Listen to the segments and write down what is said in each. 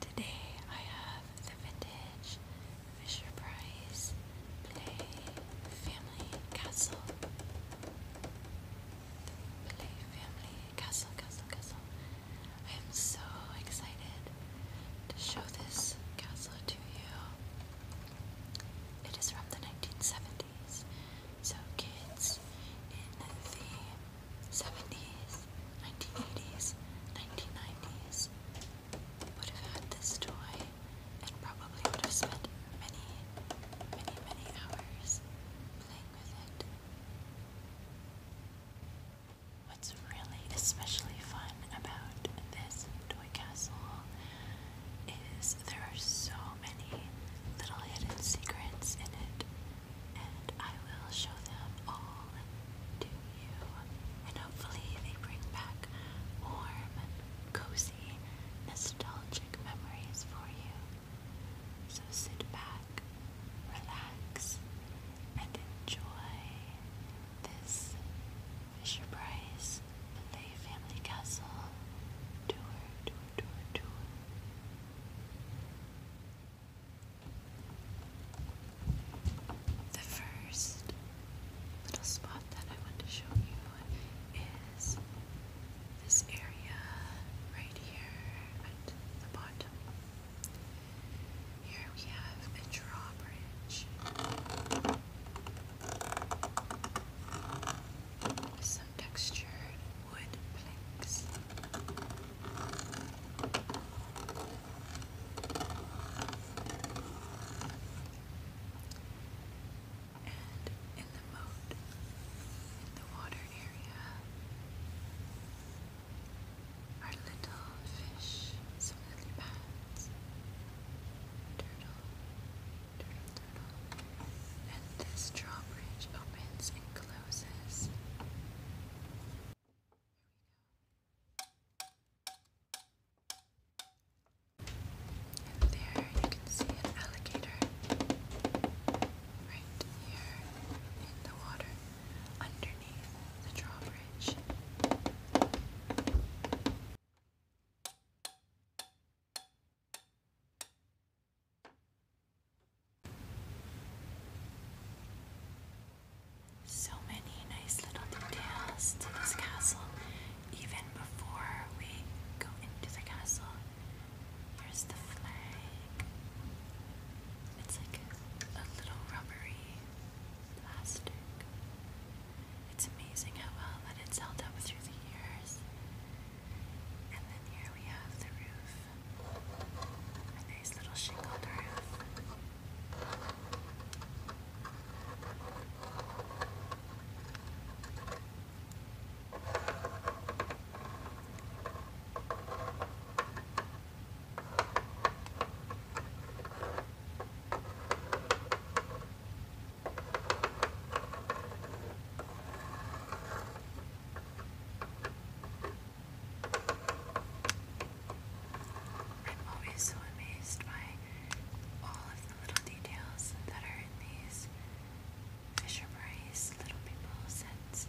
Today I have the vintage Fisher Price Play Family Castle. The Play Family Castle, Castle, Castle. I am so excited to show this castle to you. It is from the 1970s, so kids in the 70s, 1980s, 1990s, would have had this toy and probably would have spent many, many, many hours playing with it. What's really especially fun about this toy castle is there are so many little hidden secrets in it and I will show them all to you. And hopefully, they bring back warm, and cozy, nostalgic memories for you. So sit back, relax, and enjoy this Fisher Price Play Family Castle tour, tour, tour, tour. The first little spot that I want to show you is this area right here at the bottom. Here we have a drawbridge with some textured wood planks. And in the moat, in the water area, are little fish, some lily pads, turtle, turtle, turtle. And this drawbridge opens and closes and there you can see an alligator right here in the water underneath the drawbridge. So many nice little details to this castle, even before we go into the castle. Here's the flag. It's like a, little rubbery plastic. It's amazing how well that it's held up through the years. And then here we have the roof. A nice little shingled roof. All I'm always so amazed by all of the little details that are in these Fisher Price Little People sets.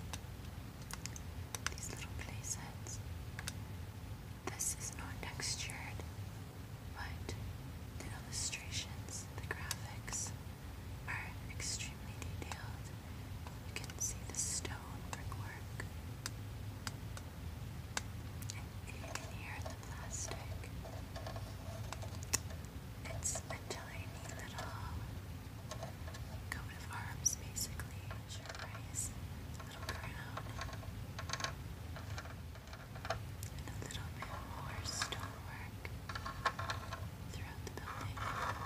These little play sets. This is not textured, but the illustrations, the graphics, are extremely detailed. You can see the stone brickwork, and you can hear the plastic. It's a tiny little coat of arms, basically. Sure, a little crown, and a little bit more stonework throughout the building.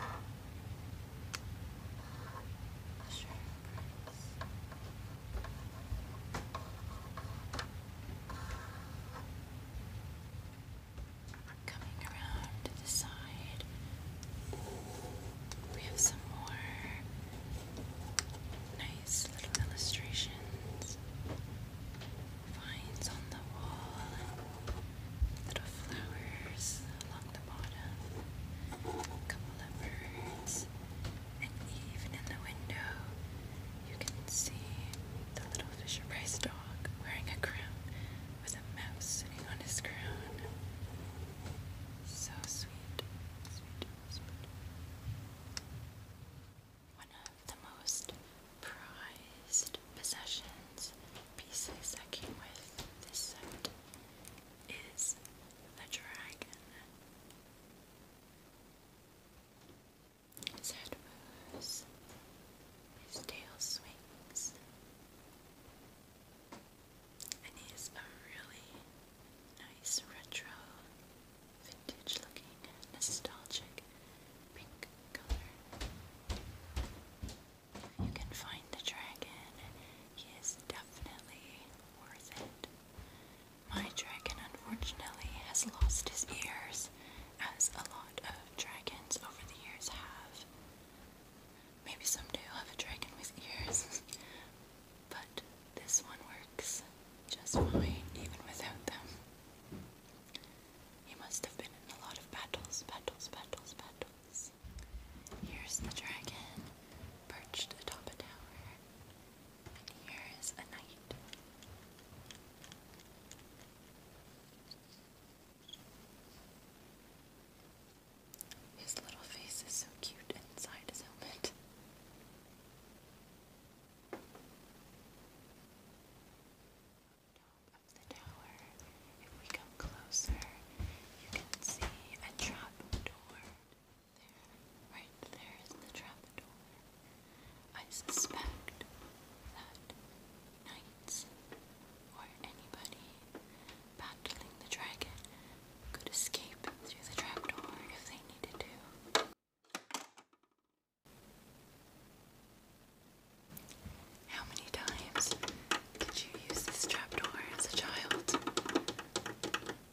Coming around to the side, we have some more nice little illustrations. Finds on the wall little flowers along the bottom, a couple of birds, and even in the window you can see the little Fisher dog wearing a crown with a mouse sitting on his crown. So sweet, sweet, sweet. One of the most prized possessions pieces that came with this set is the dragon. His head moves, his tail swings, and he's a really nice retro, vintage looking, nostalgic pink color you can find the dragon. He is definitely worth it. My dragon, unfortunately, has lost his ears, as a lot of dragons over the years have. Maybe someday I'll have a dragon with ears, but this one works just fine, even without them. He must have been in a lot of battles, battles, battles, battles. Here's the dragon perched atop a tower. And here is a knight. His little face is so cute inside his helmet top of the tower. If we come closer, you can see a trap There, right there is the trap I suspect that knights or anybody battling the dragon could escape through the trap if they needed to. How many times did you use this trapdoor as a child?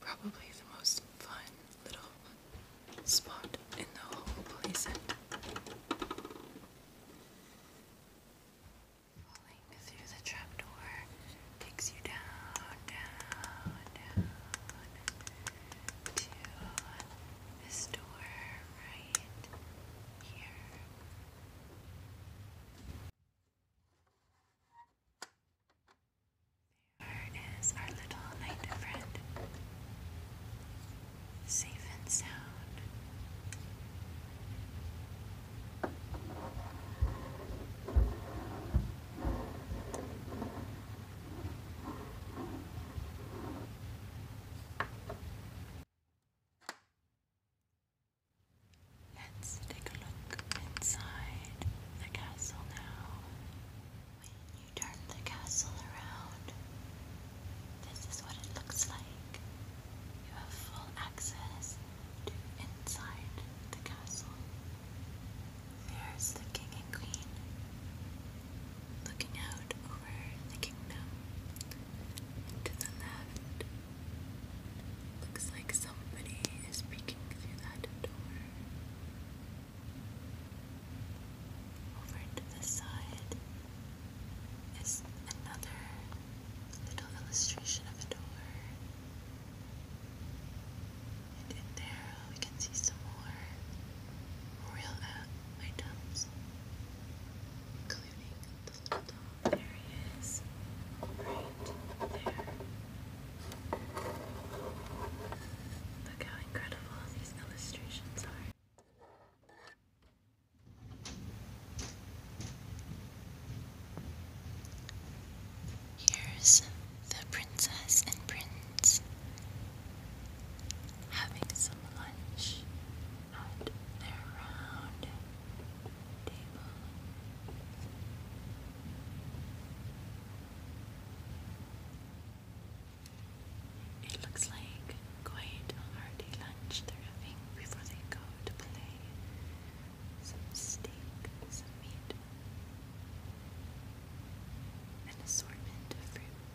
Probably the most fun little spot in the whole place. Falling through the trapdoor takes you down, down, down to this door right here. There is our little night friend, safe and sound. Let's take a look inside the castle now. When you turn the castle around, this is what it looks like. You have full access to inside the castle. There's the king and queen looking out over the kingdom. to the left Looks like somebody is peeking through that door. Over to the side is another little illustration of a door. And in there we can see some more royal uh, items, including there he is. Right there. Look how incredible these illustrations are. Here's the princess and prince having some lunch at their round it looks like quite a hearty lunch they're having before they go to play. Some steak, some meat, an assortment of fruit,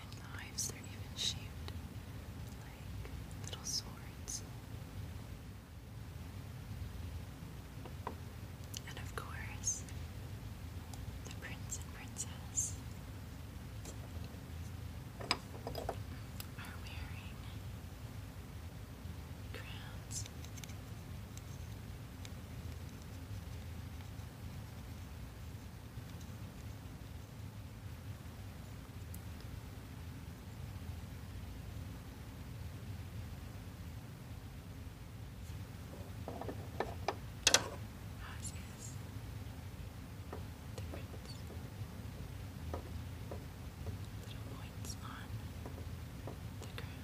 and knives. They're even shaped like little swords. And of course, the prince and princess are wearing crowns. How's this? Difference. Little points on the ground.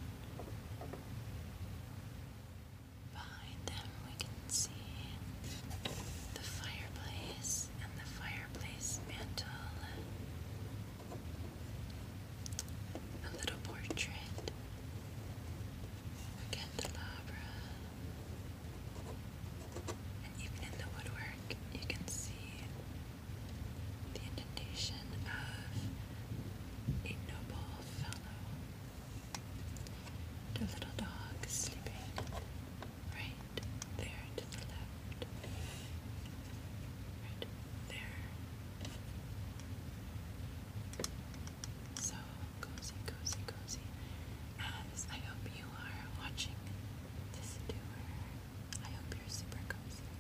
But behind them we can see the fireplace and the fireplace mantle. A little portrait. A candelabra. And even in the woodwork you can see the indentation of a noble fellow. And a little dog sleeping right there to the left, right there. So cozy, cozy, cozy. As I hope you are watching this doer, I hope you're super cozy.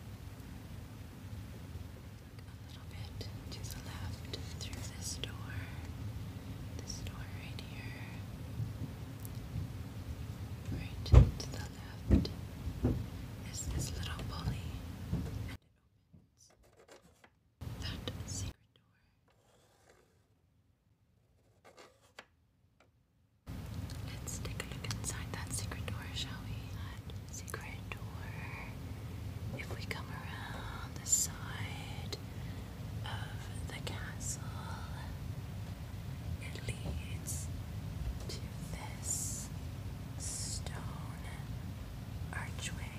A little bit to the left through this door this door right here, right to the left, is this little pulley, that secret door. Let's take a look inside that secret door, shall we? That secret door. If we come around the side, of the castle. It leads to this stone archway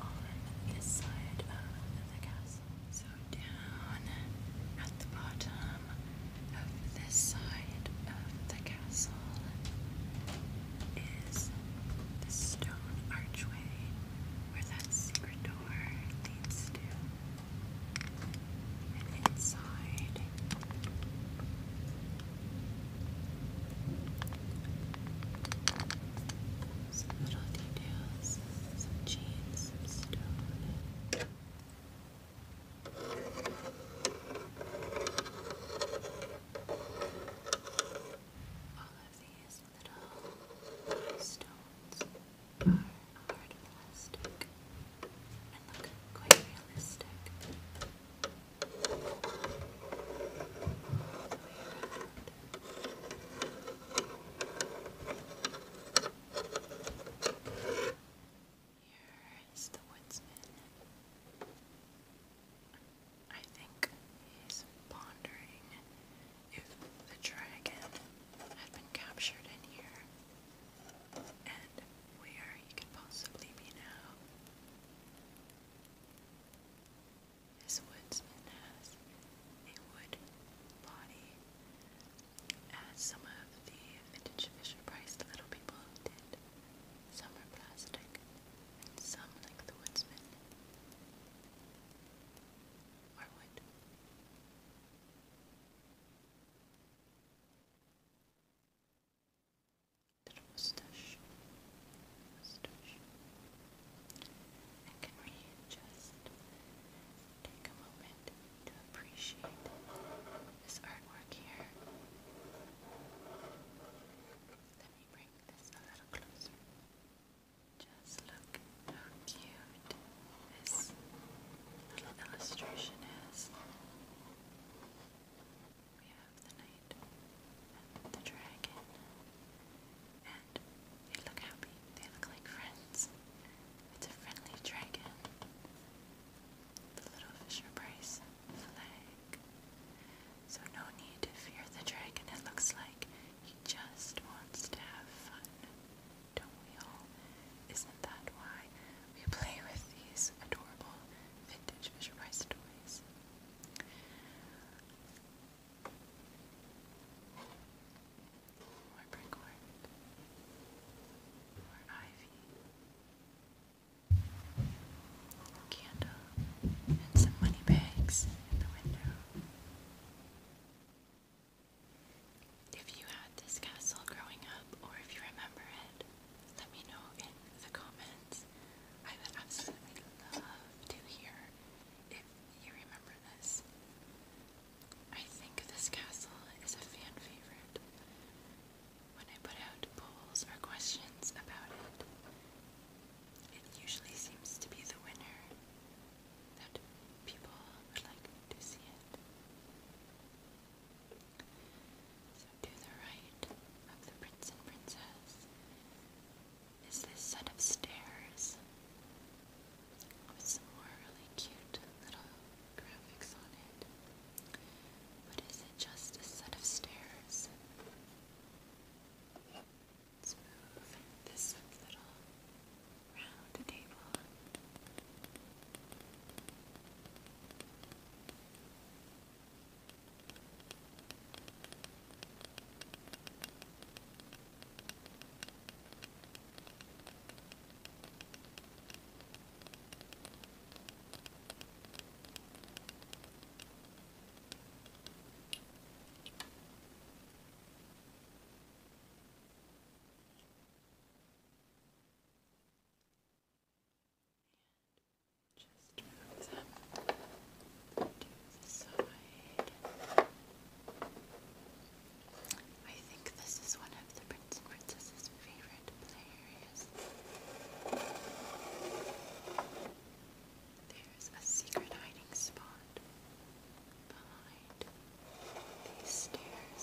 on this side of the castle. So, down at the bottom of this side of the castle is the stone archway where that secret door leads to. And inside some little details, some chains, some stone. All of these little stones are hard and look quite realistic. Here is the woodsman. I think he's pondering if the dragon had been captured in here, and where he could possibly be now. This woodsman has a wood body, as some of the vintage Fisher Price little people did. Some are plastic, and some, like the woodsman, or wood. Little mustache, can we just take a moment to appreciate this artwork here? Let me bring this a little closer. Just look how cute this illustration is. We have the knight and the dragon, and they look happy. They look like friends. It's a friendly dragon. The little Fisher Price flag. So, no need to fear the dragon, it looks like just wants to have fun, don't we all? Isn't that why we play with these adorable vintage Fisher Price toys? Or Brickwork. Or Ivy. Candle. And some money bags in the window. If you had this castle growing up or if you remember it, let me know in the comments. I would absolutely love to hear if you remember this. I think this castle is a fan favorite. When I put out polls or questions about it, it usually seems to be the winner that people would like to see it. So to the right of the prince and princess is this set of stairs with some more really cute little graphics on it. But is it just a set of stairs? Let's move this little round table. Just move I think this is one of the Prince favorite play there's a secret hiding spot behind these stairs.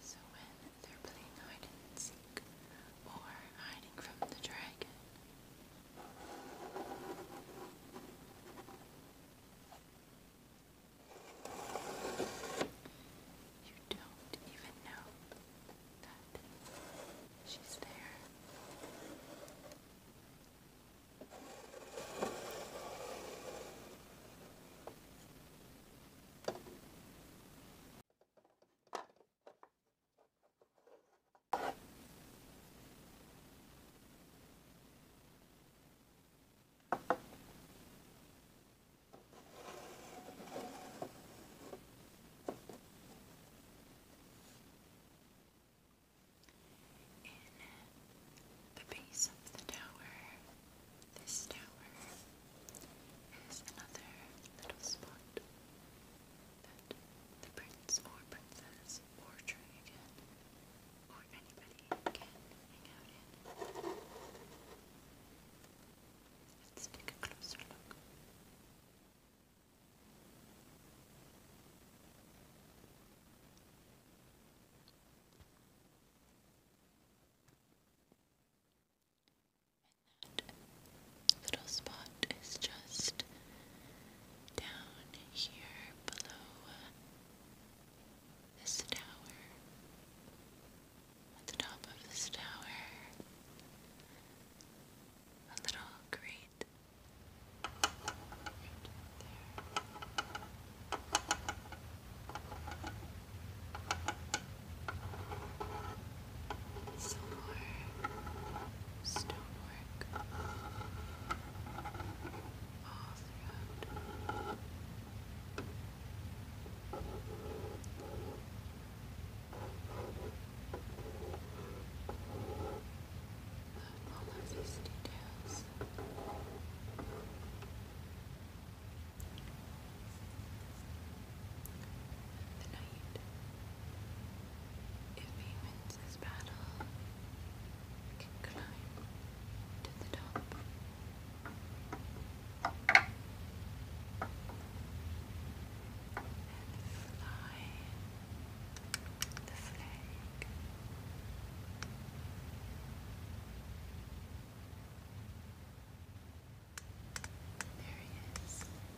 So when they're playing hide and seek or hiding from the dragon, you don't even know that she's there. In the base of the tower, this tower is another little spot that the prince or princess or dragon or anybody can hang out in. Let's take a closer look. that little spot is just down here below uh, this tower at the top of this tower a little grate some more stonework all throughout all of these details. The knight, if he wins his battle, can climb to the top and fly the flag. There he is. Right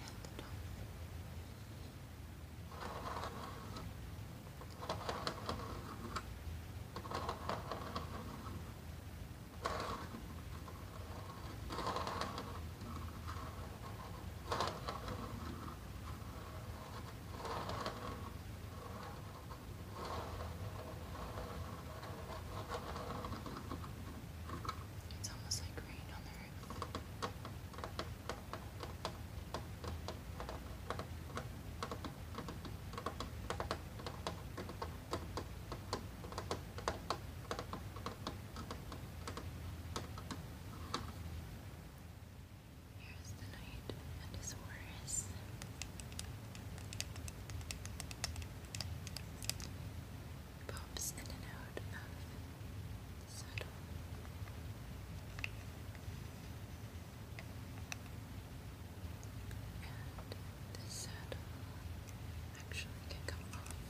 at the top. There it's almost like rain on the roof. It's Here's the knight and his horse. Pops in and out of saddle this saddle actually can come off.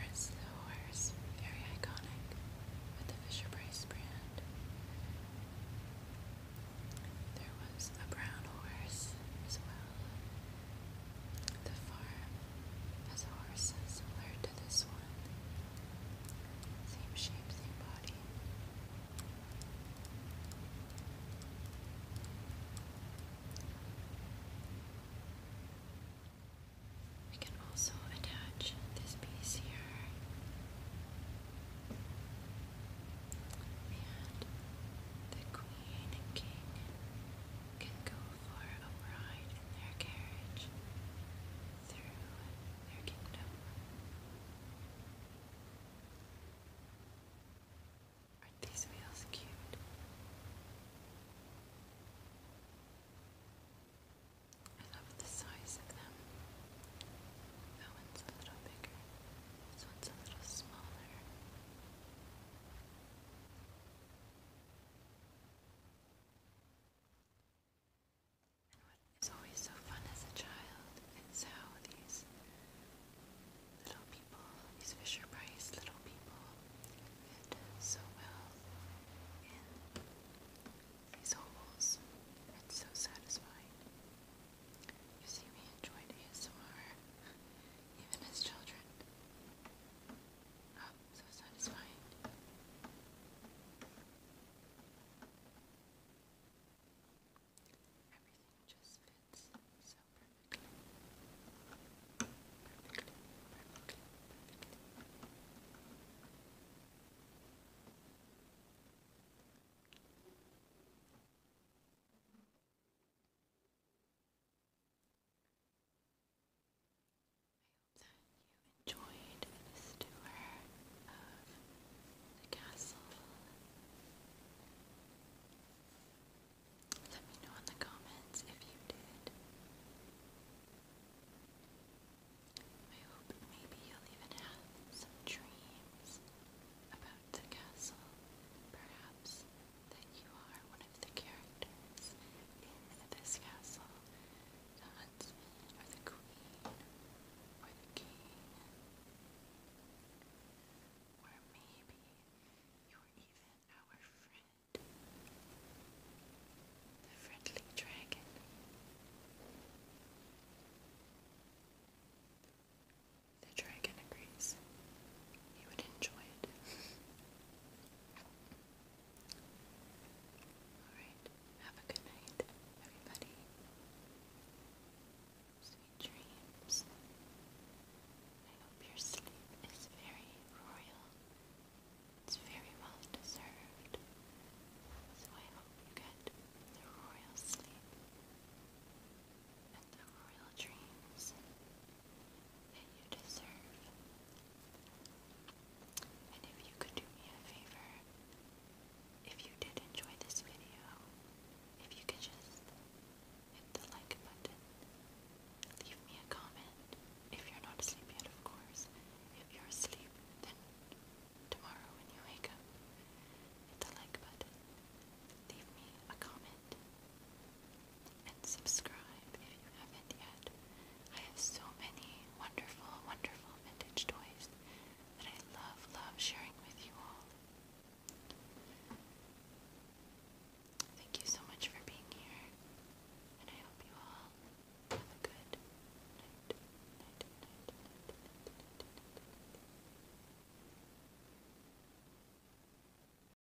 And the horse, very iconic, with the Fisher Price brand. There was a brown horse as well. The farm has a horses similar to this one. Same shape, same body. We can also attach this piece here and the queen and king can go for a ride in their carriage through their kingdom. are these wheels cute? I love the size of them. That one's a little bigger. This one's a little smaller. And what is always so fun as a child is how these little people, these Fisher Price little people, fit so well in these holes. It's so satisfying. You see, we enjoyed ASMR even as children. Oh, so satisfying. Everything just fits so perfectly. Perfectly, perfectly, I hope that you enjoyed this tour of the castle. Let me know in the comments if you did. I hope maybe you'll even have some dreams about the castle, perhaps that you are one of the characters in this castle, not or the queen or the king, or maybe you're even our friend, the friendly dragon. The dragon agrees. He would enjoy it. Alright, have a good night, everybody. Sweet dreams. I hope your sleep is very royal. It's very well deserved. So I hope you get the royal sleep and the royal dreams that you deserve. And if you could do me a favor, if you did enjoy this video, if you could just hit the like button, leave me a comment, if you're not asleep yet of course, if you're asleep then tomorrow when you wake up, hit the like button, leave me a comment, and subscribe if you haven't yet. I have so many wonderful, wonderful vintage toys that I love, love sharing with you all. Thank you so much for being here, and I hope you all have a good night. night, night, night, night, night, night, night.